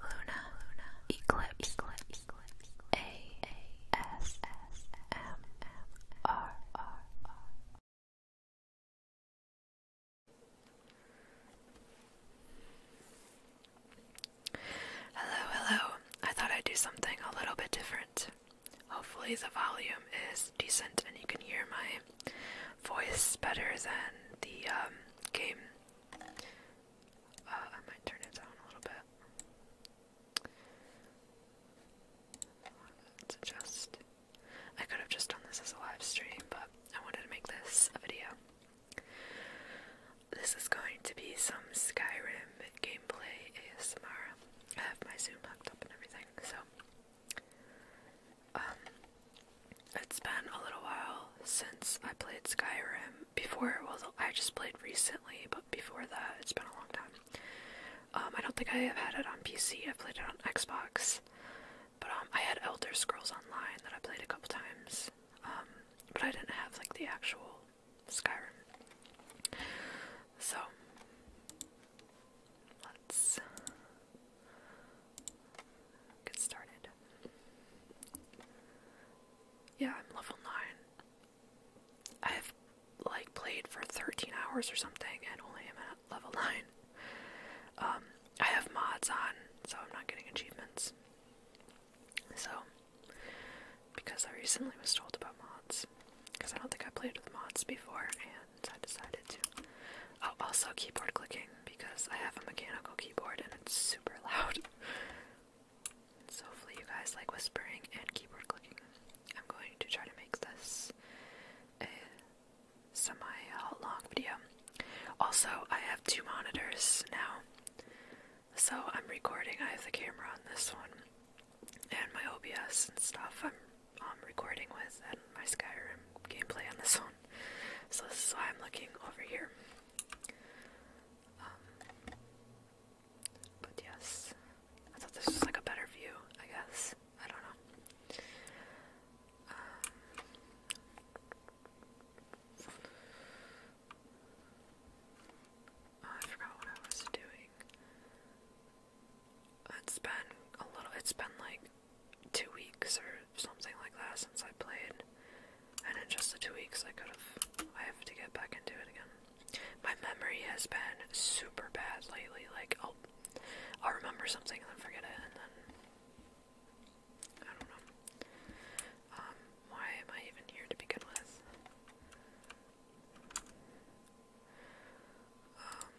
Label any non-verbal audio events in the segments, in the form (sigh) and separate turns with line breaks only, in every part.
Luna, Luna, Eclipse, Eclipse, Eclipse, A, A, S, S, M, M, R, R, R. Hello, hello. I thought I'd do something a little bit different. Hopefully, the volume is decent and you can hear my voice better than the um, game. Uh, I might turn it down a little bit. Let's I could have just done this as a live stream, but I wanted to make this a video. This is going to be some Skyrim gameplay ASMR. I have my Zoom hooked up and everything, so um, it's been a little while since I played Skyrim. Before, well, I just played recently, but before that, it's been a long time. Um, I don't think I have had it on PC. i played it on Xbox, but um, I had Elder Scrolls Online that I played a couple times. but I didn't have like the actual Skyrim. So let's get started. Yeah, I'm level 9. I've like played for 13 hours or something and only am at level 9. Um, I have mods on, so I'm not getting achievements. So, because I recently was told about mods, because I don't think I played with mods before, and. I decided to. Oh, also keyboard clicking because I have a mechanical keyboard and it's super loud. (laughs) so hopefully you guys like whispering and keyboard clicking. I'm going to try to make this a semi-long video. Also, I have two monitors now. So I'm recording. I have the camera on this one and my OBS and stuff. I'm um, recording with and my Skyrim gameplay on this one. So this is why I'm looking over here. Um, but yes, I thought this was like a better view, I guess. I don't know. Um, oh, I forgot what I was doing. It's been a little, it's been like two weeks or something like that since I played. And in just the two weeks, I could have, I have to get back into it again. My memory has been super bad lately. Like, I'll, oh, I'll remember something and then forget it, and then I don't know. Um, why am I even here to begin with? Um,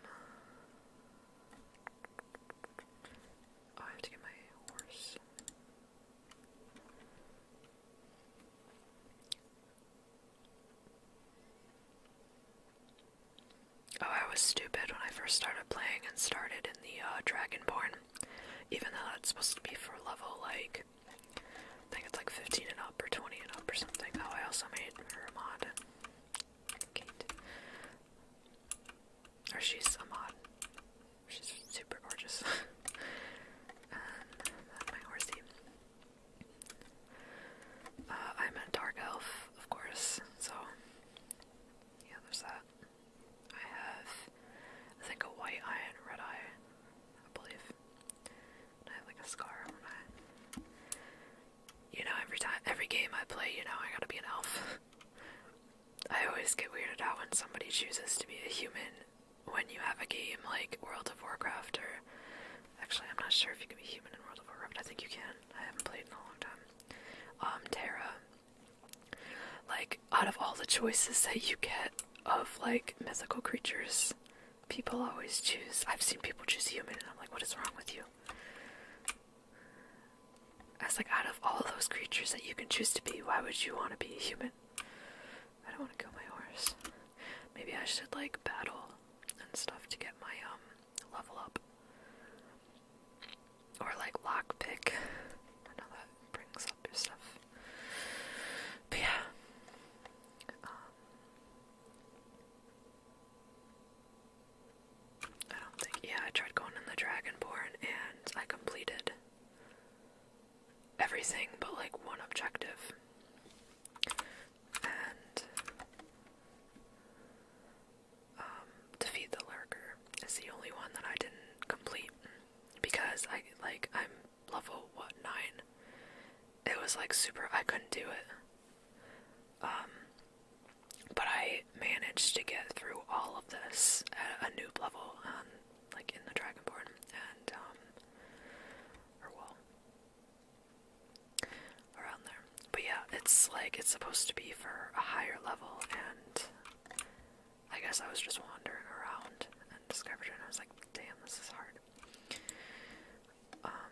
Oh, I have to get my horse. Oh, I was stupid when I first started playing and started in the uh, Dragonborn, even though that's supposed to be for level like I think it's like 15 and up or 20 and up or something. Oh, I also made a mod. Or she's a mod. She's super gorgeous. (laughs) that's my horsey. Uh, I'm a dark elf, of course, so yeah, there's that. I have, I think, a white eye and red eye, I believe. I have like a scar on one you know, every time, every game I play, you know, I gotta be an elf. I always get weirded out when somebody chooses to be a human when you have a game like World of Warcraft or. Actually, I'm not sure if you can be human in World of Warcraft. I think you can. I haven't played in a long time. Um, Terra. Like, out of all the choices that you get of, like, mythical creatures, people always choose. I've seen people choose human, and I'm like, what is wrong with you? I like, out of all those creatures that you can choose to be, why would you want to be a human? I don't want to kill my horse. Maybe I should like battle and stuff to get my um level up. Or like lockpick. I know that brings up your stuff. But yeah. Um, I don't think. Yeah, I tried going in the Dragonborn and I completed everything but like one objective. And um, defeat the lurker is the only one that I didn't complete because I like I'm level what nine. It was like super. I couldn't do it. Um, but I managed to get through all of this at a noob level, um, like in the Dragonborn, and, um, or well, around there. But yeah, it's like, it's supposed to be for a higher level, and I guess I was just wandering around and discovered it, and I was like, damn, this is hard. Um,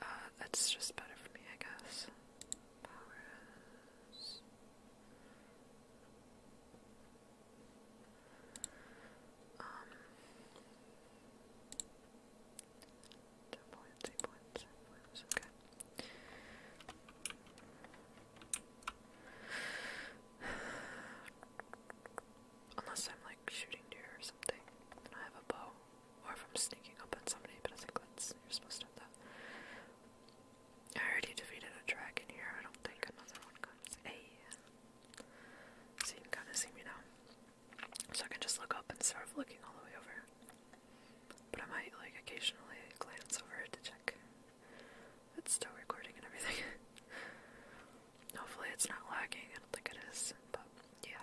Uh, that's just better for me, I guess. Um. Ten points, eight points, seven points. Okay. (sighs) Unless I'm like shooting deer or something, I have a bow or if I'm sneaking up on somebody, but I think that's you're supposed to have that. I already defeated a dragon here. I don't think another one comes. Hey, so you can kind of see me now. So I can just look up instead of looking all the way over. But I might like occasionally glance over to check. It's still recording and everything. (laughs) Hopefully it's not lagging. I don't think it is, but yeah.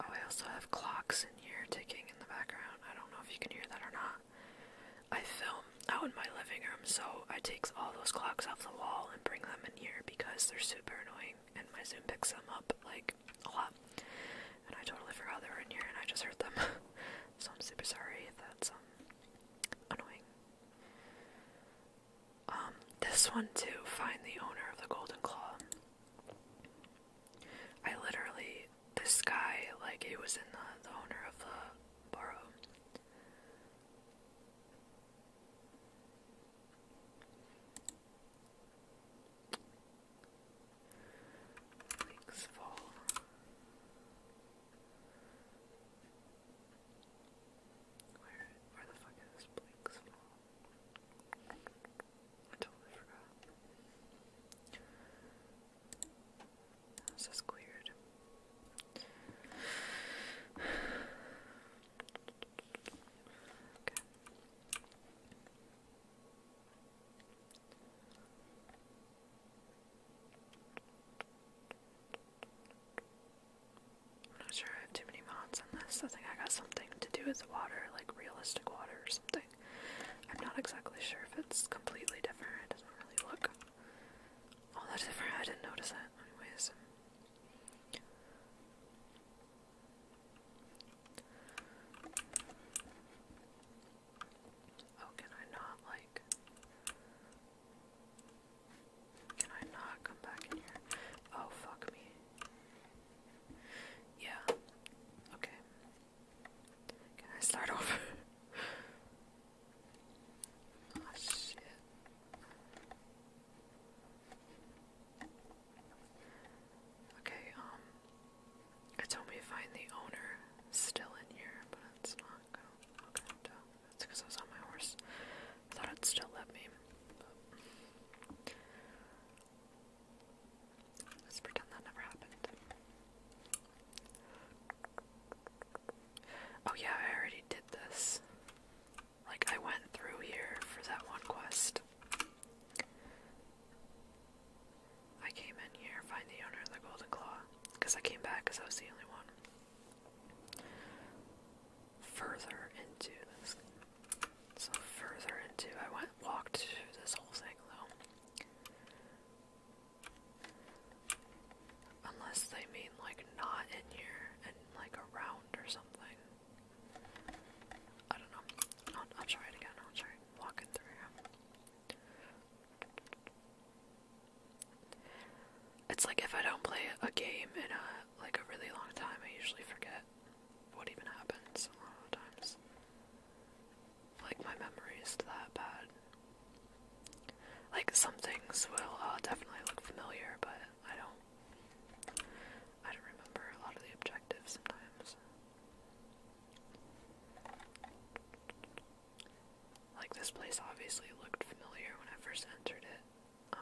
Oh, I also have clocks in here ticking in the background. I don't know if you can hear that or not. I film out in my living room, so I take all those clocks off the wall and bring them in here because they're super annoying and my Zoom picks them up like a lot. And I totally forgot they were in here and I just heard them. (laughs) so I'm super sorry if that's um annoying. Um, this one too, find the owner of the golden claw. I literally this guy, like he was in the, the owner of the borough. Where, where the fuck is this I totally forgot. This is weird. (sighs) I'm not sure I have too many mods on this. I think I got something to do with the water, like realistic water or something. I'm not exactly sure if it's completely different. It doesn't really look all that different. I didn't notice it, anyways. Oh, can I not, like... Can I not come back in here? Oh, fuck me. Yeah. Okay. Can I start (laughs) over? oh, shit. Okay, um... It told me find the owner still in here, but it's not that's because I was on my horse. I thought it still let me. Let's pretend that never happened. Oh yeah, I already did this. Like, I went through here for that one quest. I came in here, find the owner of the Golden Claw, because I came back because I was the only one. Further into this, so further into, I went walked through this whole thing though. Unless they mean like not in here and like around or something. I don't know. I'll, try it again. I'll try walking through here. It's like if I don't play a game in a like a really long time, I usually forget what even happens a lot of times. Like my memory is that bad. Like some things will definitely look familiar, but I don't. I don't remember a lot of the objectives sometimes. Like, this place obviously looked familiar when I first entered it uh,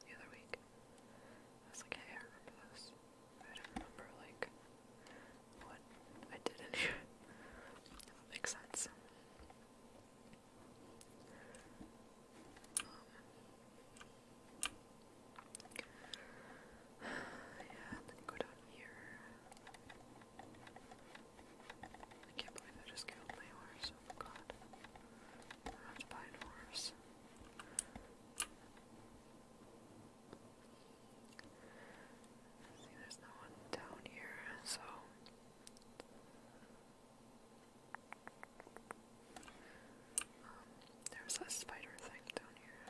the other week. I was like, hey, I remember this. I don't remember, like, what I did in here. (laughs) that makes sense. Um, (sighs) yeah, then go down here. I can't believe I just killed my horse. Oh god. I have to buy a horse. See, there's no one down here, so. Um, there's a spider thing down here.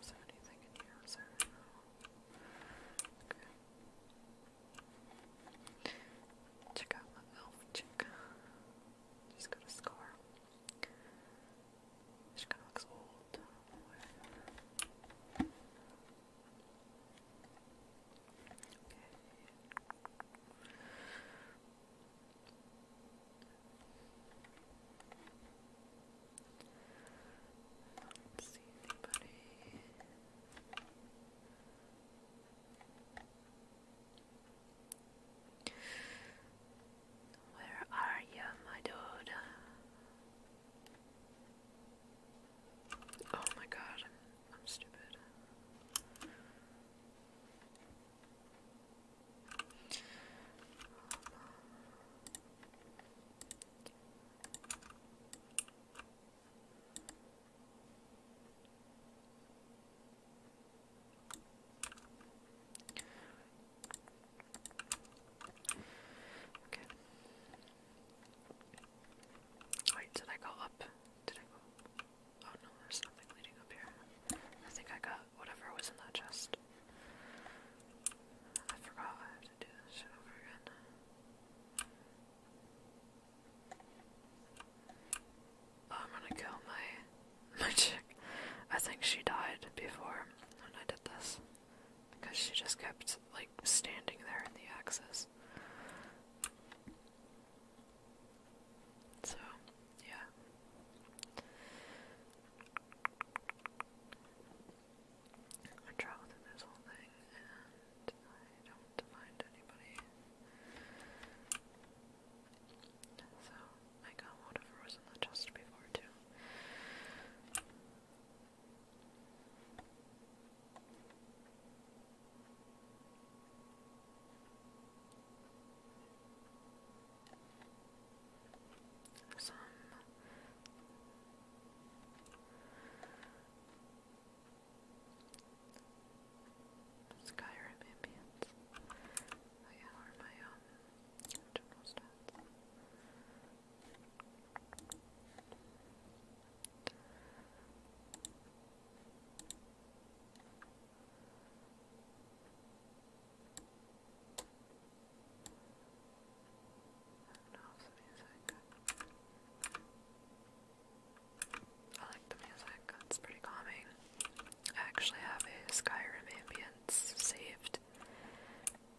Is there anything in here? Is Okay. Check out my elf chick. She's got a scar. She kind of old. Okay do Where are you, my dude? Oh my god, I'm stupid. Okay. Wait, did I go up? Did I go? Oh no, there's nothing leading up here. I think I got whatever was in that chest. I forgot I have to do this shit over again. Oh, I'm gonna kill my (laughs) my chick. I think she died before when I did this. Because she just kept like standing there in the axis. So, yeah. I travel through this whole thing and I don't find anybody. So, I got whatever was in the before, too some Skyrim ambience. Oh yeah, or my um general stats. And off I like the music, it's pretty calming. I actually have a Skyrim ambience saved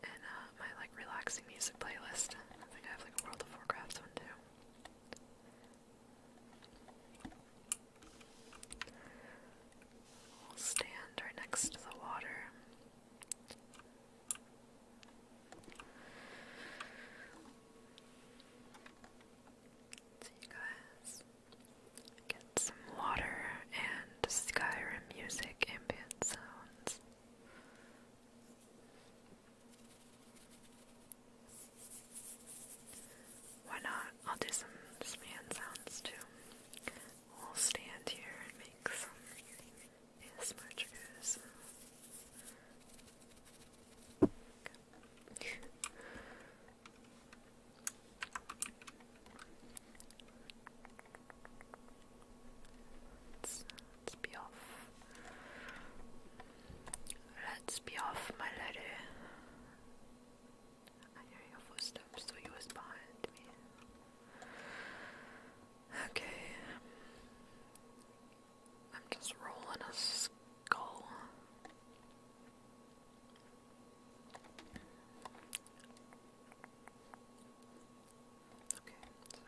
in uh, my like relaxing music playlist. I think I have like a World of Warcraft one too. I'll stand right next to the water. So you guys get some water and Skyrim music ambient sounds. Why not? I'll do some span sounds too. We'll stand here and make some ASMR triggers. Let's, be off. Let's be off, my lady. I hear your footsteps, so he was behind me. Okay. I'm just rolling a skull. Okay, so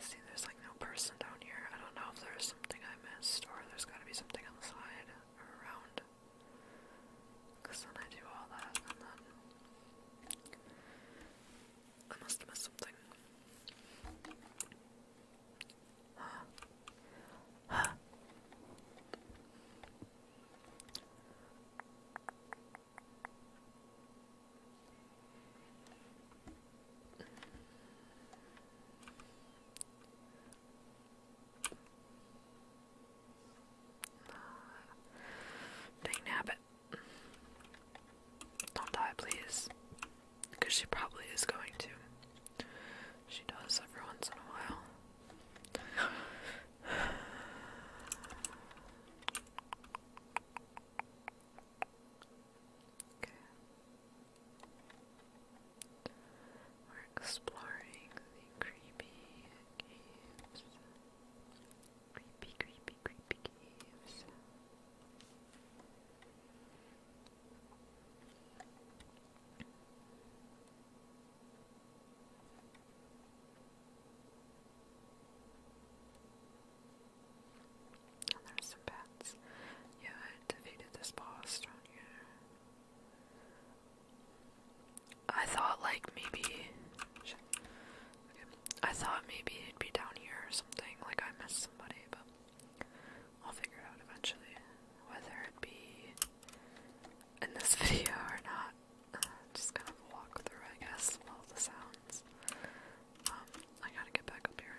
See, there's like no person down here. I don't know if there's something I missed, or there's gotta be something on the side around. Because then I do all that, then. I must have something. Dang Don't die, please. Because she probably is going to. She does every once in a while. Okay. We're exploring the creepy caves. Creepy, creepy, creepy caves there's some pets. You defeated this boss, don't I thought like maybe I thought maybe it'd be down here or something, like I missed somebody, but I'll figure it out eventually. Whether it be in this (laughs) video or not. just kind of walk through I guess all the sounds. Um, I gotta get back up here.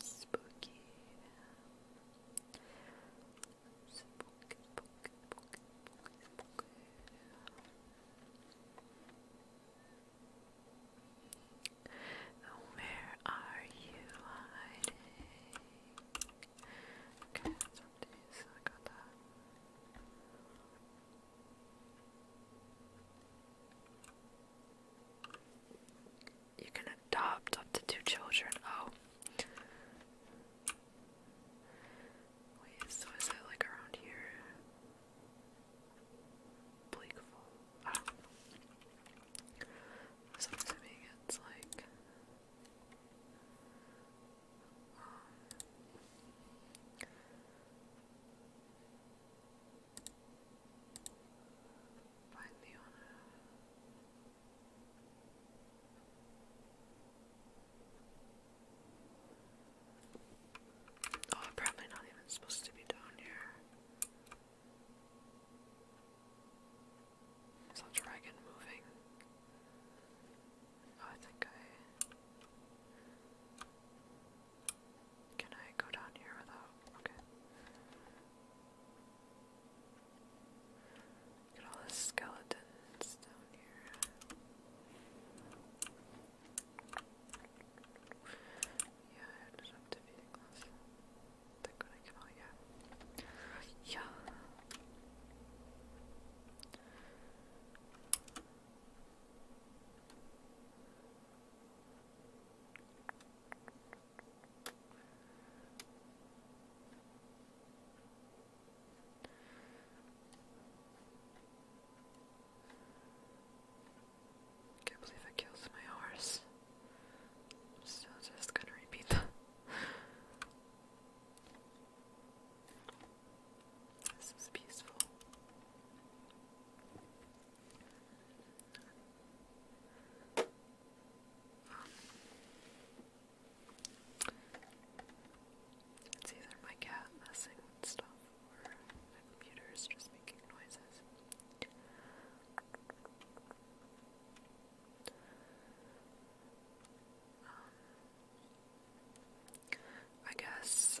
Spooky. Spooky, Where are you hiding? You can adopt up to two children. Oh. Wait, so is it like around here? Bleakful. I it's like. Um, Oh, I'm probably not even supposed to be down here. that dragon moving? Oh, I think I. Can I go down here without? Okay. Look at all the skeletons down here. Yeah, I ended up defeating this. I think when I come out, yeah. Yeah! I can't believe it kills my horse. I'm still just gonna repeat that. (laughs) This is peaceful. Um, it's either my cat messing with stuff or my computer is just making noises. Um, I guess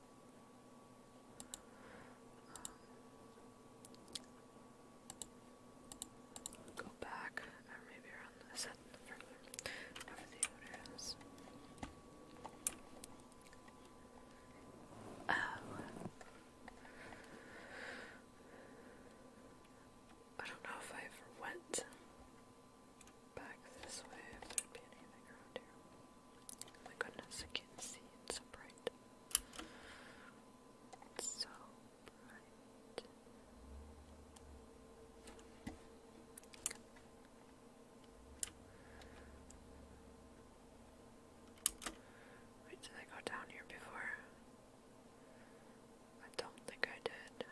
Um, go back, or maybe around the set further. Never the order is. Oh. I don't know if I ever went Back this way if there'd be anything around here. my goodness, I can't see. It's so bright. so bright. Wait, did I go down here before? I don't think I did.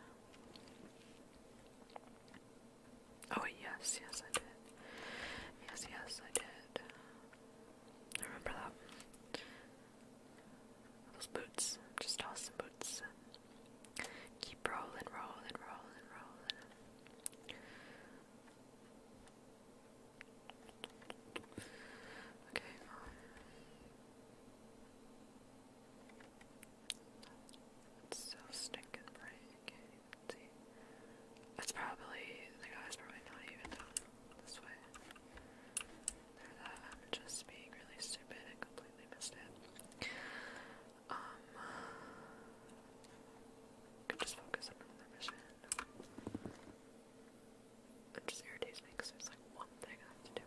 Oh, yes, yes, I did. Yes, yes, I did. I remember that. Those boots. Just toss boots. Keep rolling, rolling, rolling, rolling. Okay. Um, so stinking bright. That's probably the guy's probably not even down this way. There that just being really stupid and completely missed it. Um could just focus on another mission. It just irritates me because there's like one thing I have to do.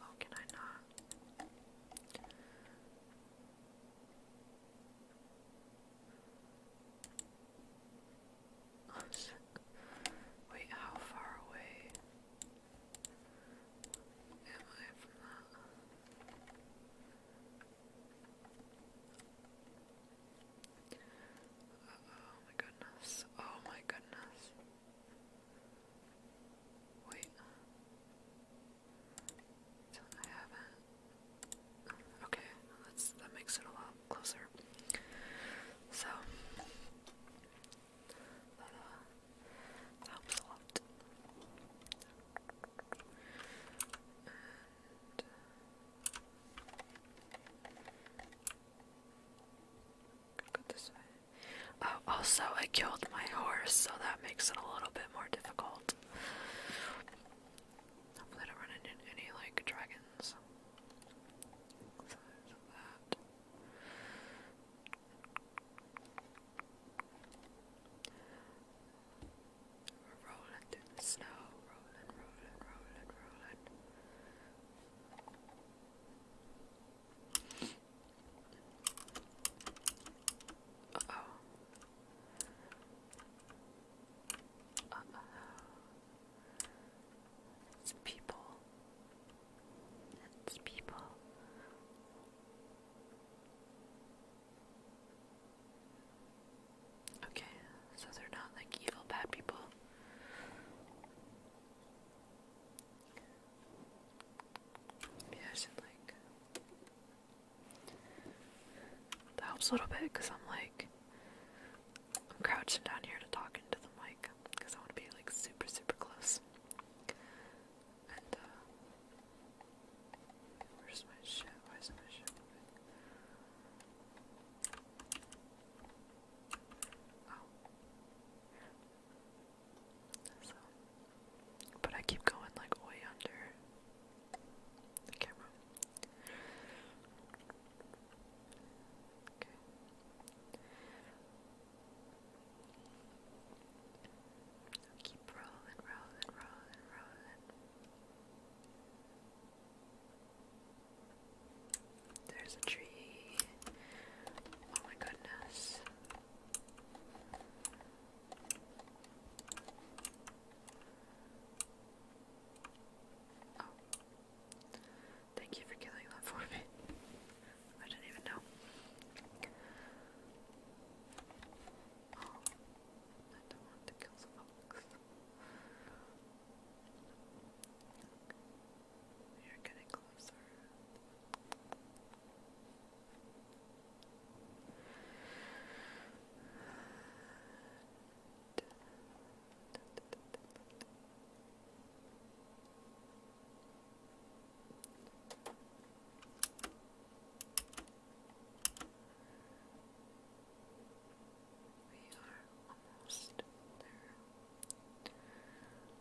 Oh, can I not? Oh, Wait, how far away am I from oh my goodness. Oh my goodness. Wait. I haven't. Okay, that's that makes it a lot closer. So that, uh, helps a lot. Uh, go this way. Oh, also, I killed my horse, so that makes it a little bit more difficult. I don't run into any like dragons. Uh oh. Uh oh. It's people. It's people. Okay, so they're not like evil bad people. Yeah, should like. That helps a little bit because I'm like. I'm crouching down here to talk into the mic because I want to be like super, super close. And, uh, Where's my shit? Why my shit so, but I keep going like way under the camera. Okay. Now keep rolling, rolling, rolling, rolling. There's a tree. Oh my goodness. Oh. Thank you for killing that for me. I didn't even know. Oh, I don't want to kill some folks. We are getting closer. We are almost there.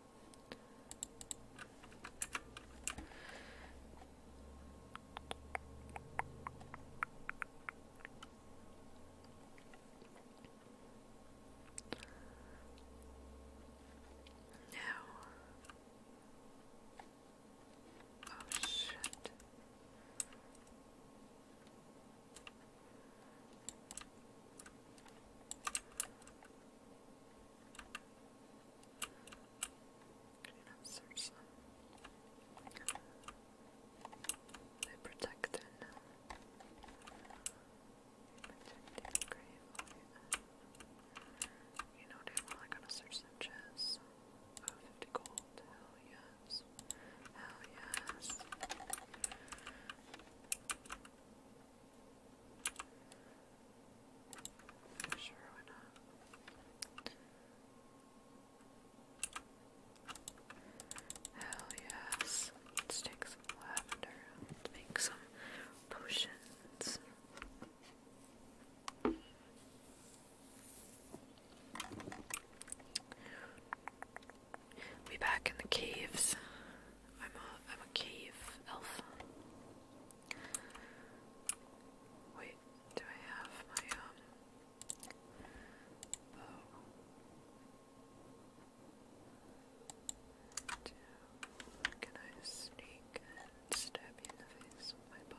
No. Oh shit search them. They protect it now. Protecting grave. You know, dude, we're not gonna search them chests. Oh, gold. Hell yes. Hell yes. Sure, why Hell yes. Let's take some lavender to make some potions. We back in the caves. I'm a I'm a cave elf. Wait, do I have my um bow? can I sneak and stab you in the face with my bow?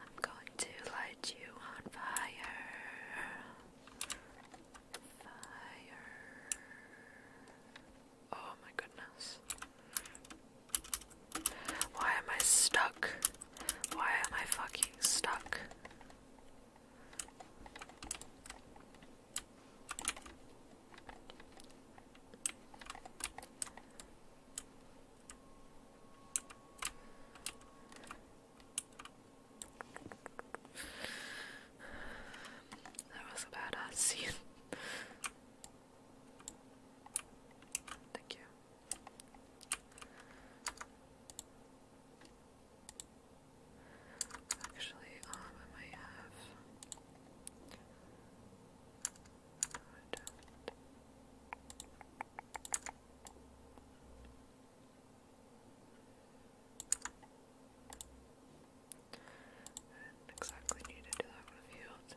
I'm going to light you on fire. Fire. Oh my goodness. Why am I stuck? Why am I fucking stuck? That was a badass Thank you. Actually, um, I might have. Good. I exactly need to do a field.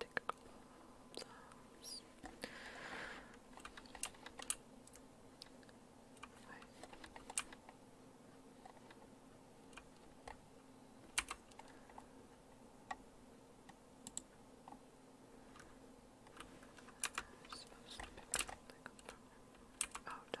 Take a couple of thumbs. Right. I'm supposed to pick something up from Oh, no.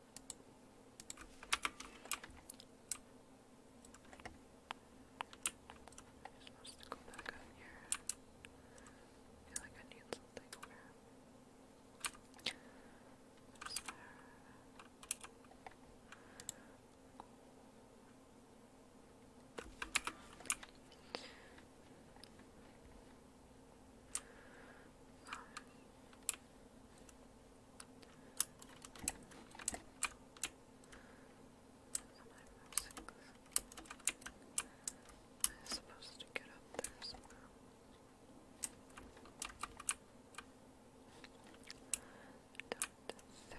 I'm supposed to go back on here. I feel like I need something over. There's there. Cool. Um, Am I supposed to get up there somehow? I don't think so. Um,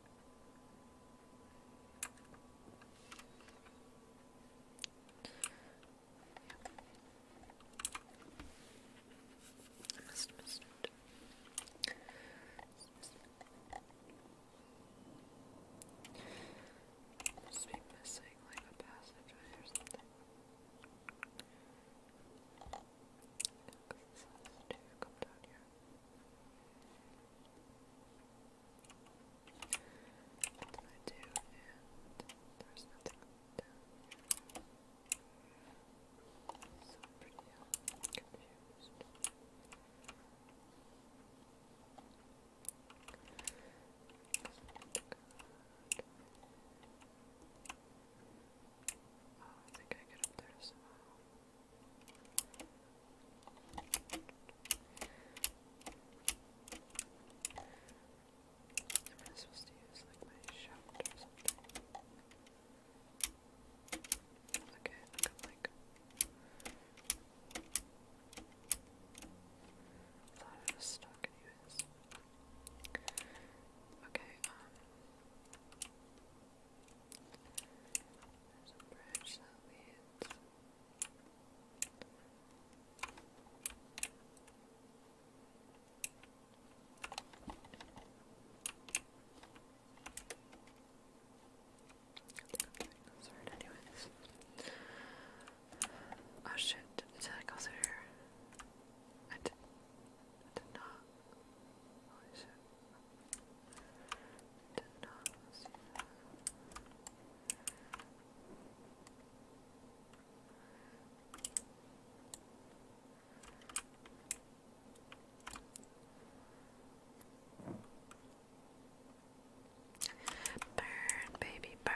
I must missed Must be missing like a passageway or something. Because has to come down here. What did I do? And there's nothing down here. So pretty confused. Oh, I think I get up there somehow. Am I supposed to use like my shout or Okay, I got like I thought Okay, um there's a bridge that leads I'm Oh shit, did I go through here? I did, did not. Holy shit. Tendons, yeah. Burn, baby, burn.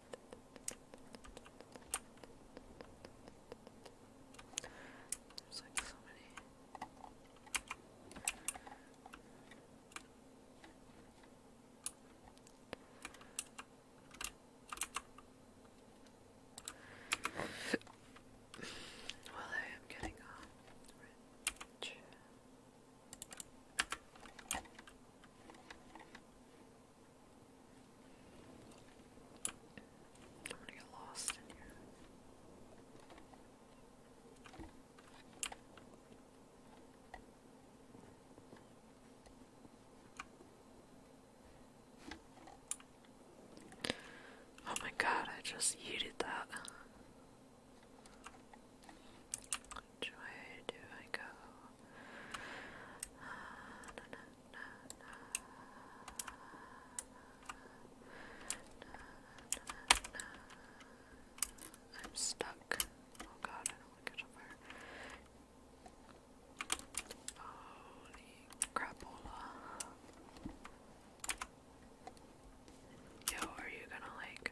There's like well, I am getting on rich. I'm gonna get lost in here. Oh my god, I just yeeted that. Which do I go? I'm stuck. Oh god, I don't want to catch on fire. Holy crapola. Yo, are you gonna like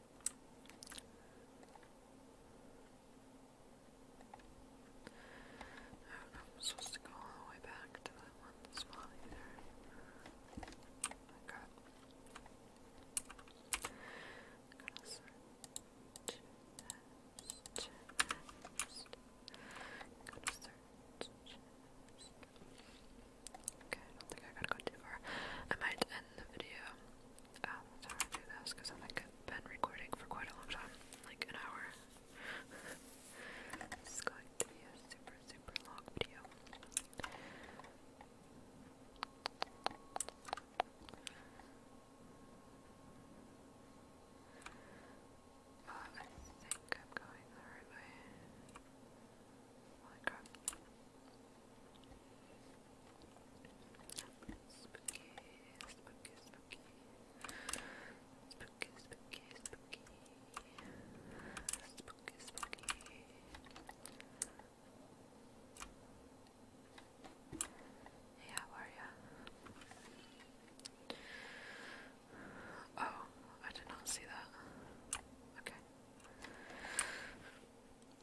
I don't know I'm supposed to go all the way back to that one spot either. Okay. Gonna search chest, chest. to search Okay, I don't think I gotta go too far. I might end the video Oh, I'm gonna do this because I think I've been recording for quite a long time, like an hour. (laughs) this is going to be a super, super long video. Uh, I think I'm going the right way. Holy crap. Spooky, spooky, spooky. are ya? Oh, I did not see that. Okay.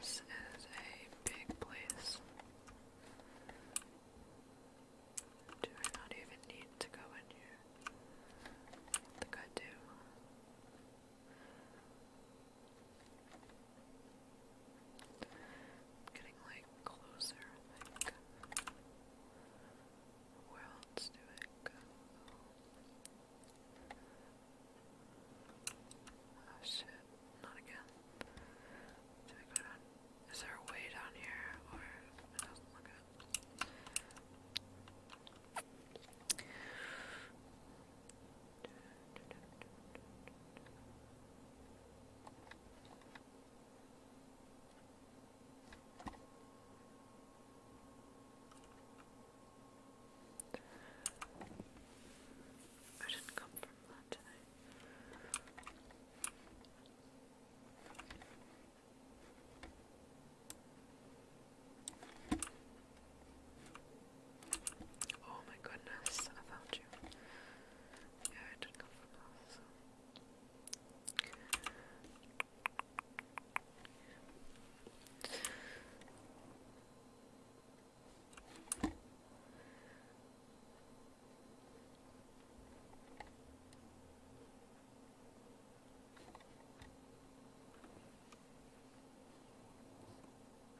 This is a big place. Do not even need to go in here? I think do getting like closer, I think. Where do I Oh shit, not again. Is there a way down here? Or it doesn't look good. I didn't come from that today. Okay. Oh my goodness, I found you. Yeah, I did come from us.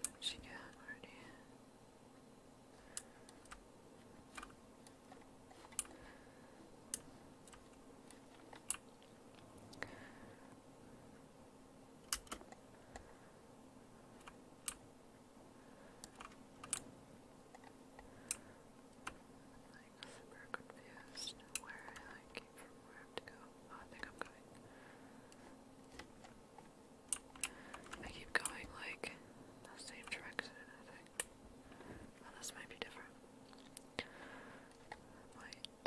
What did she get already? Like super confused where I came from, where I have to I think I'm going. I keep going like the same direction, I think. Well, this might be different. Might.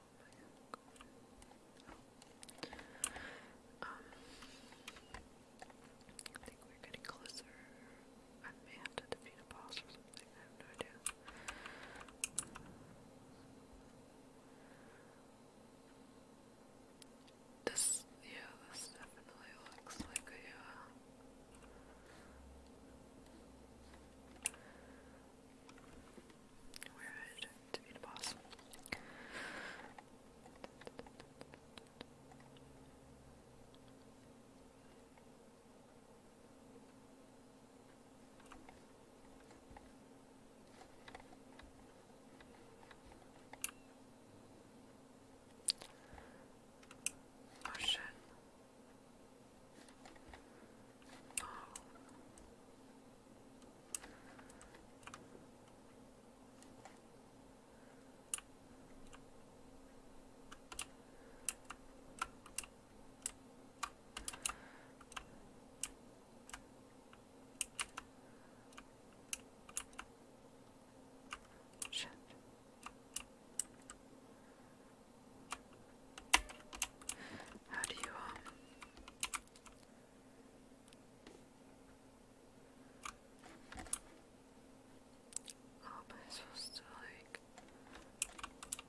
Oh. Um, I think we're getting closer. I have to defeat a boss I have no idea. This, yeah, this definitely looks like a, uh, where is to be the boss? Oh shit. Oh. Shit. How do you um how am I supposed to like? Fuck.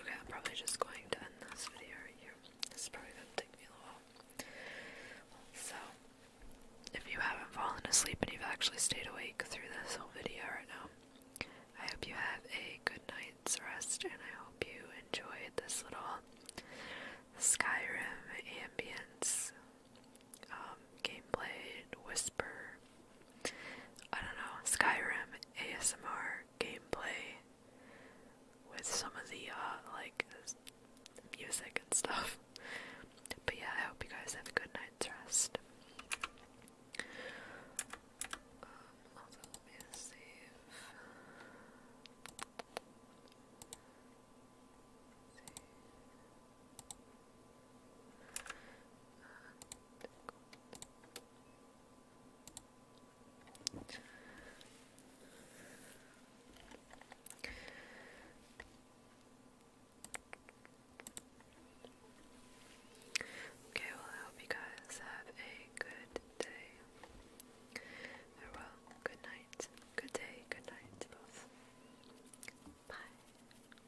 Okay, I'm probably just going to end this video here. This is probably gonna take me a while. So, if you haven't fallen asleep and you've actually stayed awake through this whole video right now, I hope you have a good night's rest and I hope you enjoyed this little Skyrim ambience um, gameplay whisper I don't know, Skyrim ASMR gameplay with some of the uh, like music and stuff. But yeah, I hope you guys have a good night's rest. Um, Okay, well, I hope you guys have a good day. Or, good night. Good day, good night, both. Bye.